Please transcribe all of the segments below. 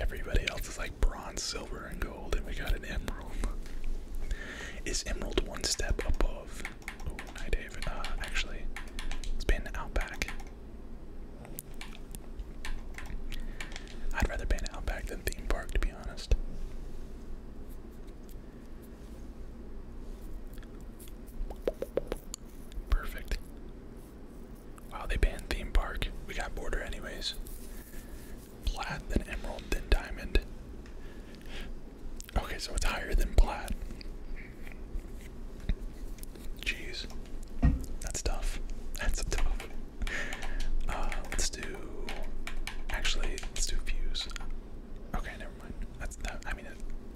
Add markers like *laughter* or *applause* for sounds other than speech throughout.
Everybody else is like bronze, silver, and gold, and we got an emerald. Is emerald one step above? hi, David. Uh, actually, it's been Outback. I'd rather ban Outback than theme park, to be honest. Perfect. Wow, they banned theme park. We got border anyways. Plat, than emerald, than diamond. Okay, so it's higher than plat. Jeez. That's tough. That's *laughs* tough. Uh, let's do. Actually, let's do fuse. Okay, I mean,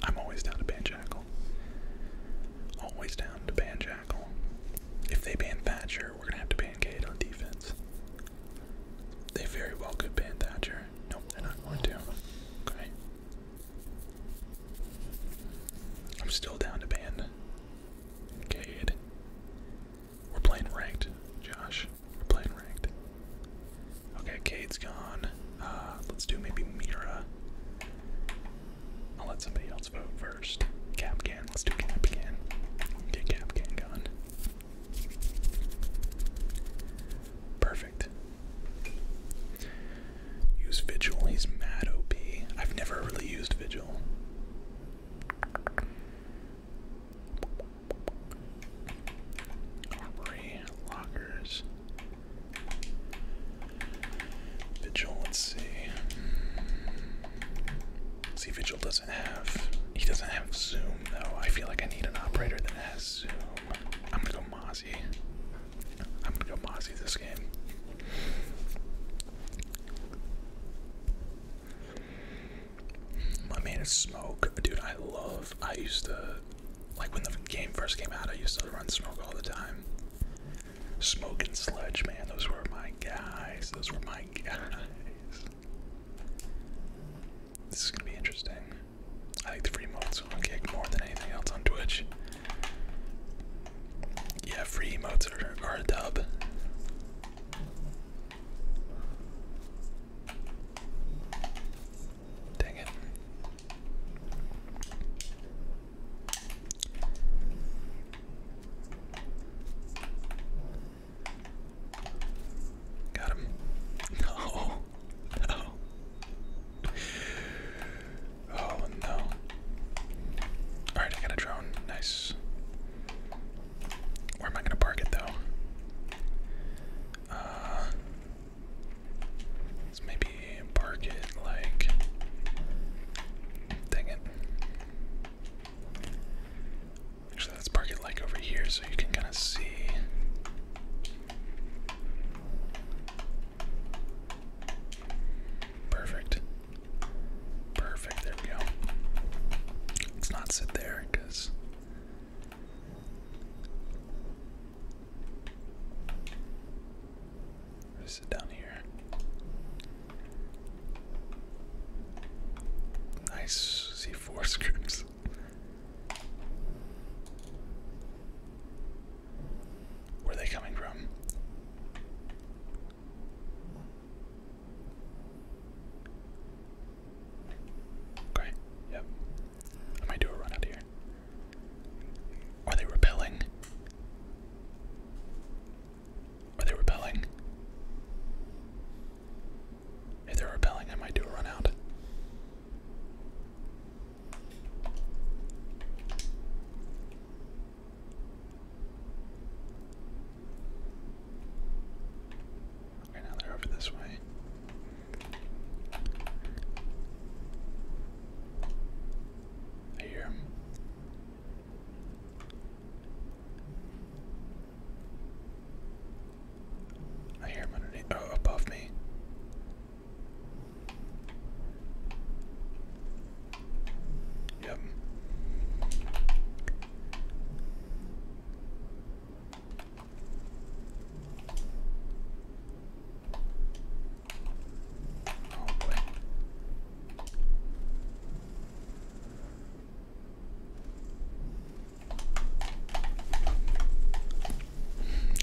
I'm always down to ban Jackal. Always down to ban Jackal. If they ban Thatcher, we're gonna have to ban Cade on defense. They very well could ban Thatcher. Nope, they're not going to. Okay. I'm still down to ban Cade. We're playing ranked, Josh. We're playing ranked. Okay, kate has gone. Uh, let's do maybe Mira. I'll let somebody else vote first. Capcan, let's do Capcan. Get Capcan gone. Perfect. Use Vigil, he's mad OP. I've never really used Vigil. Armory, lockers. Vigil, let's see. Hmm. See, Vigil doesn't have. He doesn't have Zoom, though. I feel like I need an operator that has Zoom. I'm gonna go Mozzie. I'm gonna go Mozzie this game. My man is Smoke. Dude, I love. I used to. Like when the game first came out, I used to run smoke all the time. Smoke and sludge, man, those were my guys. Those were my guys. This is gonna be interesting. I like the free emotes on kick more than anything else on Twitch. Yeah, free modes are, are a dub. Dang it. Got him. *laughs* No. No. Oh no. Alright, I got a drone. Nice. Where am I gonna park it though? Uh Let's maybe park it like. Dang it. Actually, let's park it like over here so you can kind of see. Perfect. Perfect, there we go. Let's not sit there because this down here. Nice. See four *laughs* scripts. Where are they coming from? Okay, yep, I might do a run out here. Are they repelling? Are they repelling? If they're repelling, I might do a run out. Okay, now they're over this way. I hear him. I hear him underneath. Oh, above me. Yep.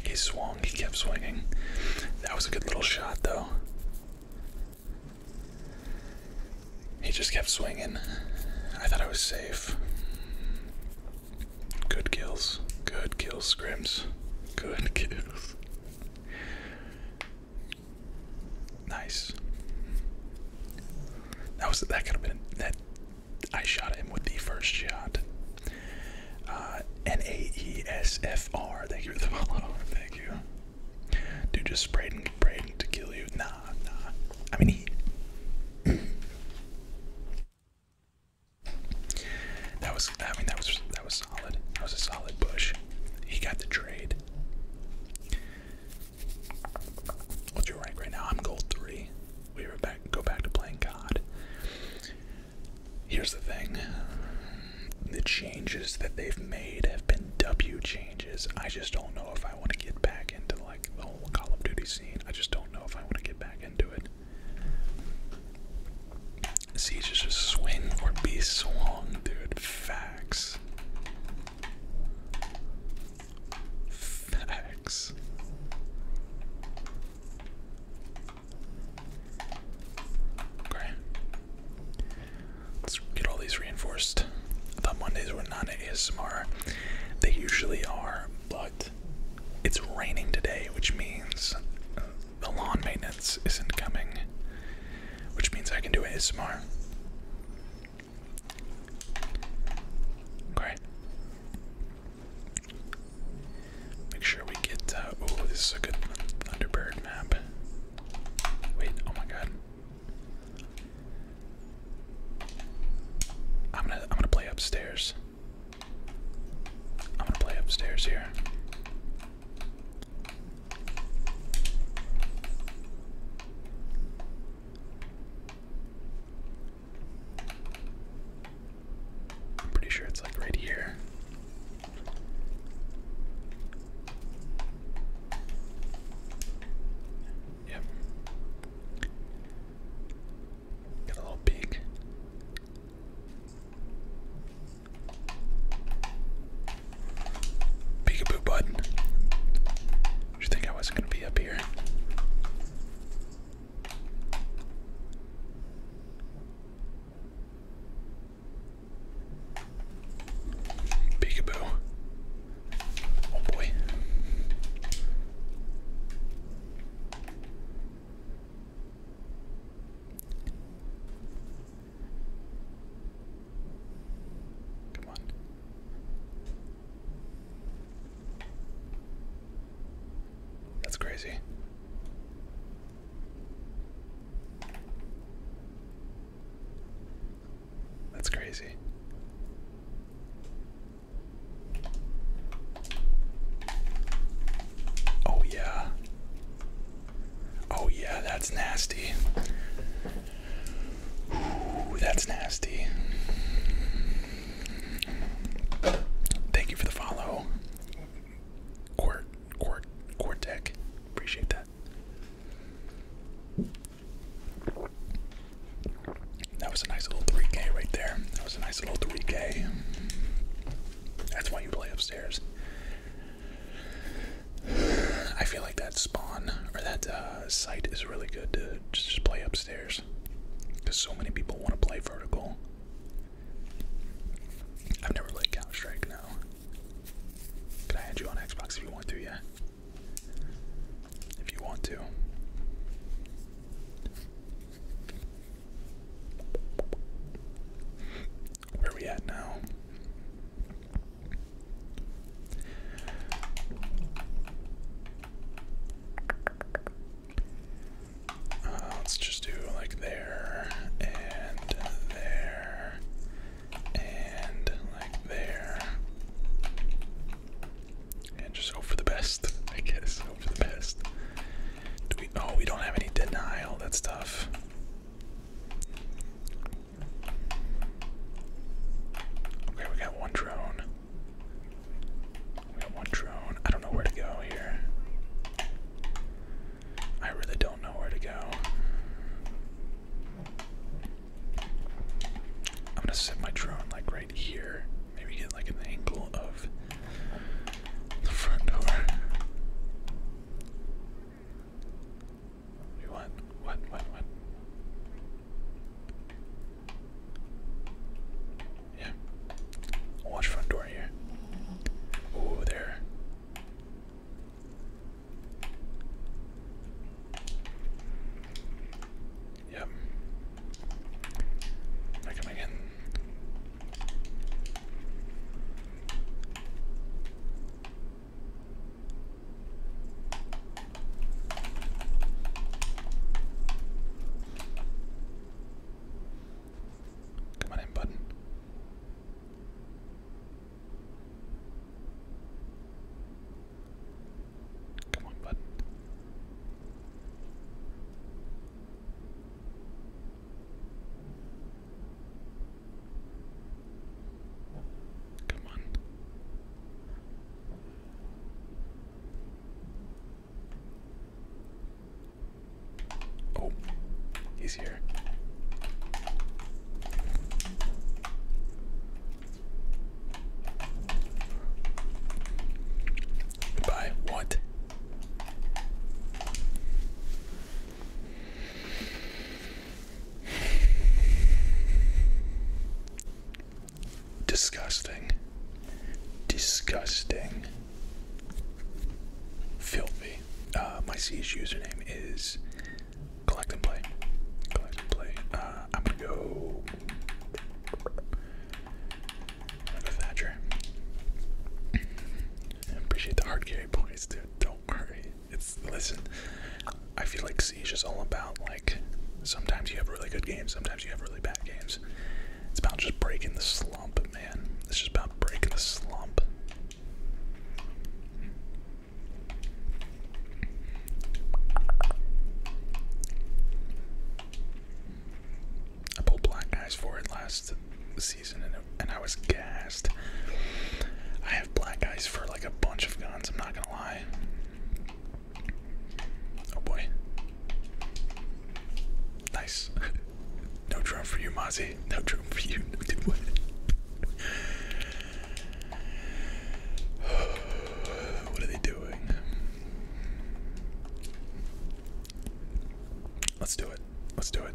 He swung, he kept swinging. That was a good little shot, though. He just kept swinging. I thought I was safe. Good kills. Good kills, Scrims. Good *laughs* kills. Nice. That was that could have been that I shot him with the first shot. Uh, N A E S F R. Thank you for the follow. Thank you. Dude just sprayed and to kill you. Nah, nah. I mean he *clears throat* That was I mean that was that was solid. That was a solid push. He got the trade. What's your rank right now? I'm gold three. We were back go back to playing God. Here's the thing. The changes that they've made have been W changes. I just don't know if I want to get back into like the whole Call of Duty scene. I just don't know if I want to get back into it. Siege just swing or be swung, dude. Facts. Facts. Okay. Let's get all these reinforced. I Mondays were not an ASMR. They usually are, but it's raining today, which means uh, the lawn maintenance isn't coming, which means I can do ASMR. Okay. Make sure we get. oh, this is a good Thunderbird map. Wait, oh my god. I'm gonna I'm gonna play upstairs. I'm gonna play upstairs here. I'm pretty sure it's like right here. Yep. Got a little peek. Peekaboo button. you think I wasn't gonna be up here? Peekaboo. Oh boy. Come on. That's crazy. That's crazy. Oh, yeah. Oh, yeah, that's nasty. Ooh, that's nasty. Thank you for the follow. Quart, quart, quartec. Appreciate that. That was a nice little 3K right there. That was a nice little 3K. That's why you play upstairs. I feel like that spawn or that uh, site is really good to just play upstairs because so many people want to play vertical. I've never played Counter Strike now. Can I add you on Xbox if you want to? Yeah if you want to. Where are we at now? Uh, let's just do like there and there and like there and just hope for the best. *laughs* I guess hope for the best. Do we? Oh, we don't have any denial. That's tough. Okay, we got one drone. We got one drone. I don't know where to go here. I really don't know where to go. I'm gonna set my drone like right here. Maybe get like an angle of the front door. You Yeah. watch front door here. Ooh, there. Yep. They're coming Come on in, button. Come on, button. Come on. Oh, he's here. By what? Disgusting. Disgusting. Filthy. Uh, my C's username is Collect and play. Collect and play. Uh, I'm gonna go. I'm gonna appreciate the hard carry points, dude. Don't worry. It's listen. I feel like Siege is all about like sometimes you have really good games, sometimes you have really bad games. It's about just breaking the slump, man. It's just about breaking the slump. I pulled black eyes for it last season and, and I was gassed. I have black eyes for like a bunch of guns, I'm not gonna lie. Oh boy. Nice. *laughs* no drum for you, Mozzie. No drum for you. *laughs* *sighs* What are they doing? Let's do it. Let's do it.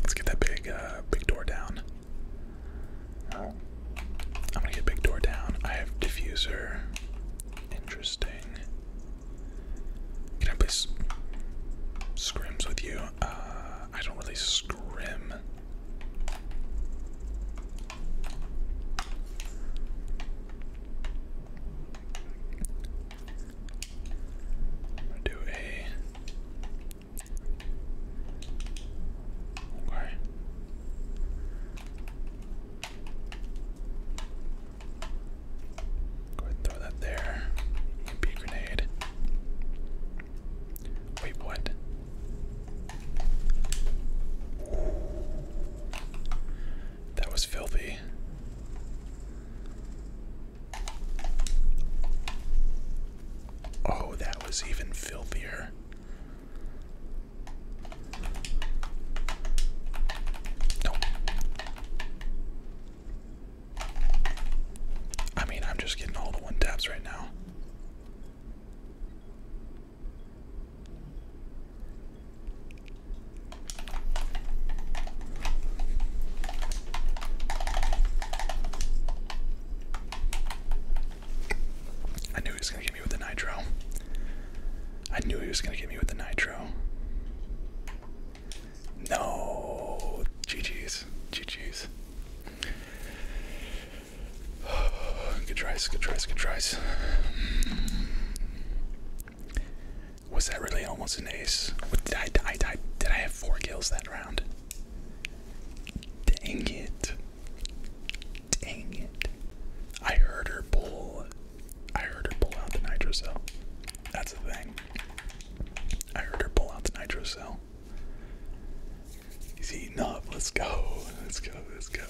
Let's get that big, uh, big door down. I'm gonna get big door down. I have diffuser. Interesting. Can I please scrims with you? Uh, I don't really scrim. I'm gonna do a. Okay. Go ahead throw that there. EMP grenade. Wait, what? That was filthy. Oh, that was even filthier. No. I mean, I'm just getting all the one taps right now. I knew he was going to get me with the nitro. I knew he was going to get me with the nitro. No. GG's. GG's. *sighs* Good tries, good tries, good tries. Was that really almost an ace? did I, I, I did I have four kills that round? Dang it! Dang it! I heard her pull. I heard her pull out the nitro cell. That's the thing. I heard her pull out the nitro cell. Is he not? Let's go. Let's go. Let's go.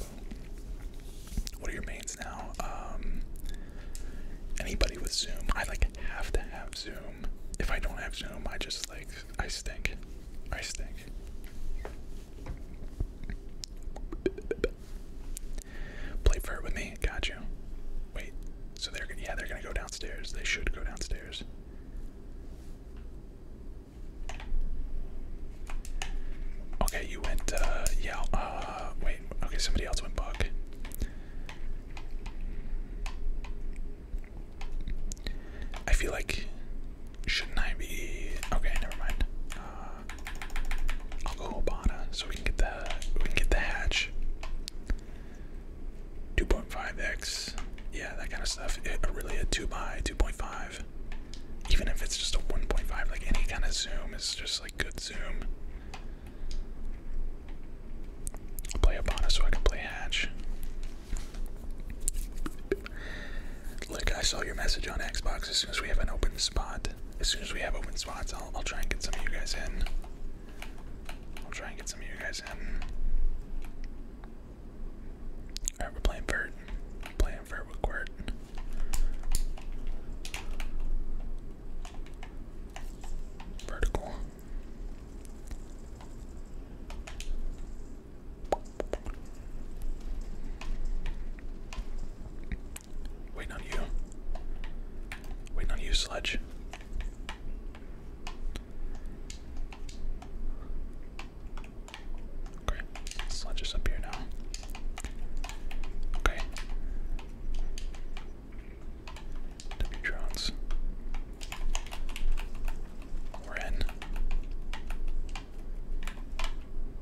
What are your mains now? Um, anybody with Zoom. I like have to have Zoom. If I don't have Zoom, I just like I stink. I stink. Play fair with me. Got you. Wait. So they're gonna yeah they're gonna go downstairs. They should go downstairs. Okay, you went, uh, yeah, uh, wait, okay, somebody else went bug. I feel like, shouldn't I be, okay, never mind. Uh, I'll go Obana so we can get the, we can get the hatch. 2.5x, yeah, that kind of stuff. really, a 2 by 2.5, even if it's just a 1.5, like any kind of zoom is just like good zoom. I'll play Abana so I can play Hatch. Look, I saw your message on Xbox. As soon as we have an open spot, as soon as we have open spots, I'll, I'll try and get some of you guys in. I'll try and get some of you guys in. All right, we're playing vert. playing vert with Quirt. Vertical. Waiting on you. Waiting on you, Sledge. Okay, sledge is up here now. Okay. W We're in.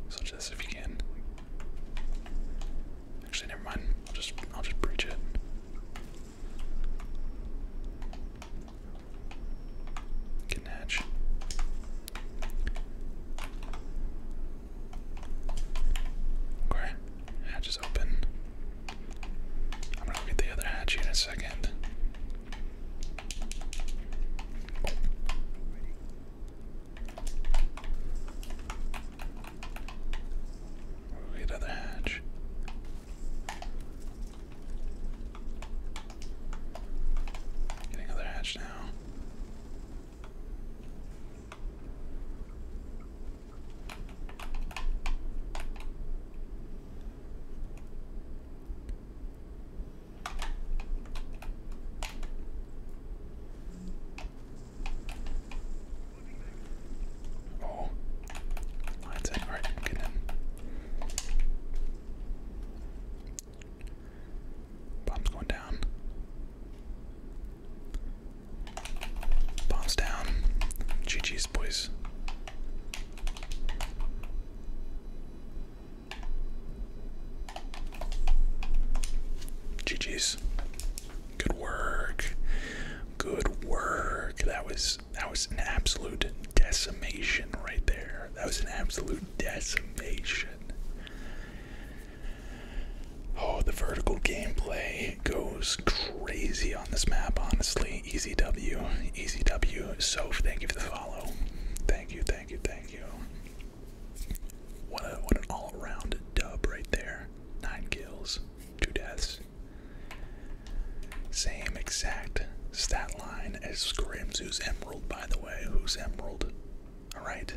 Such this if you can. Actually never mind. I'll just I'll just breach it. Good hatch. Okay, hatch is open. I'm gonna get the other hatch here in a second. Oh. Wait, hatch. Getting another hatch now. Oh. Line's in. Alright, I'm Bomb's going down. Bombs down. GG's, boys. GG's. Good work. Good work. That was that was an absolute decimation right there. That was an absolute decimation. Oh, the vertical gameplay goes crazy on this map, honestly. EZW, EZW, easy So thank you for the follow. Thank you, thank you, thank you. what an all-around dub right there. Nine kills, two deaths. Same exact stat line as Scrimzoo's Emerald, by the way. Who's Emerald? Alright?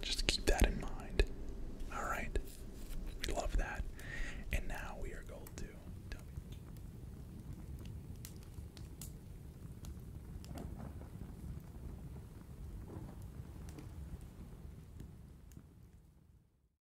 Just keep that in mind. Alright? We love that. And now we are going to.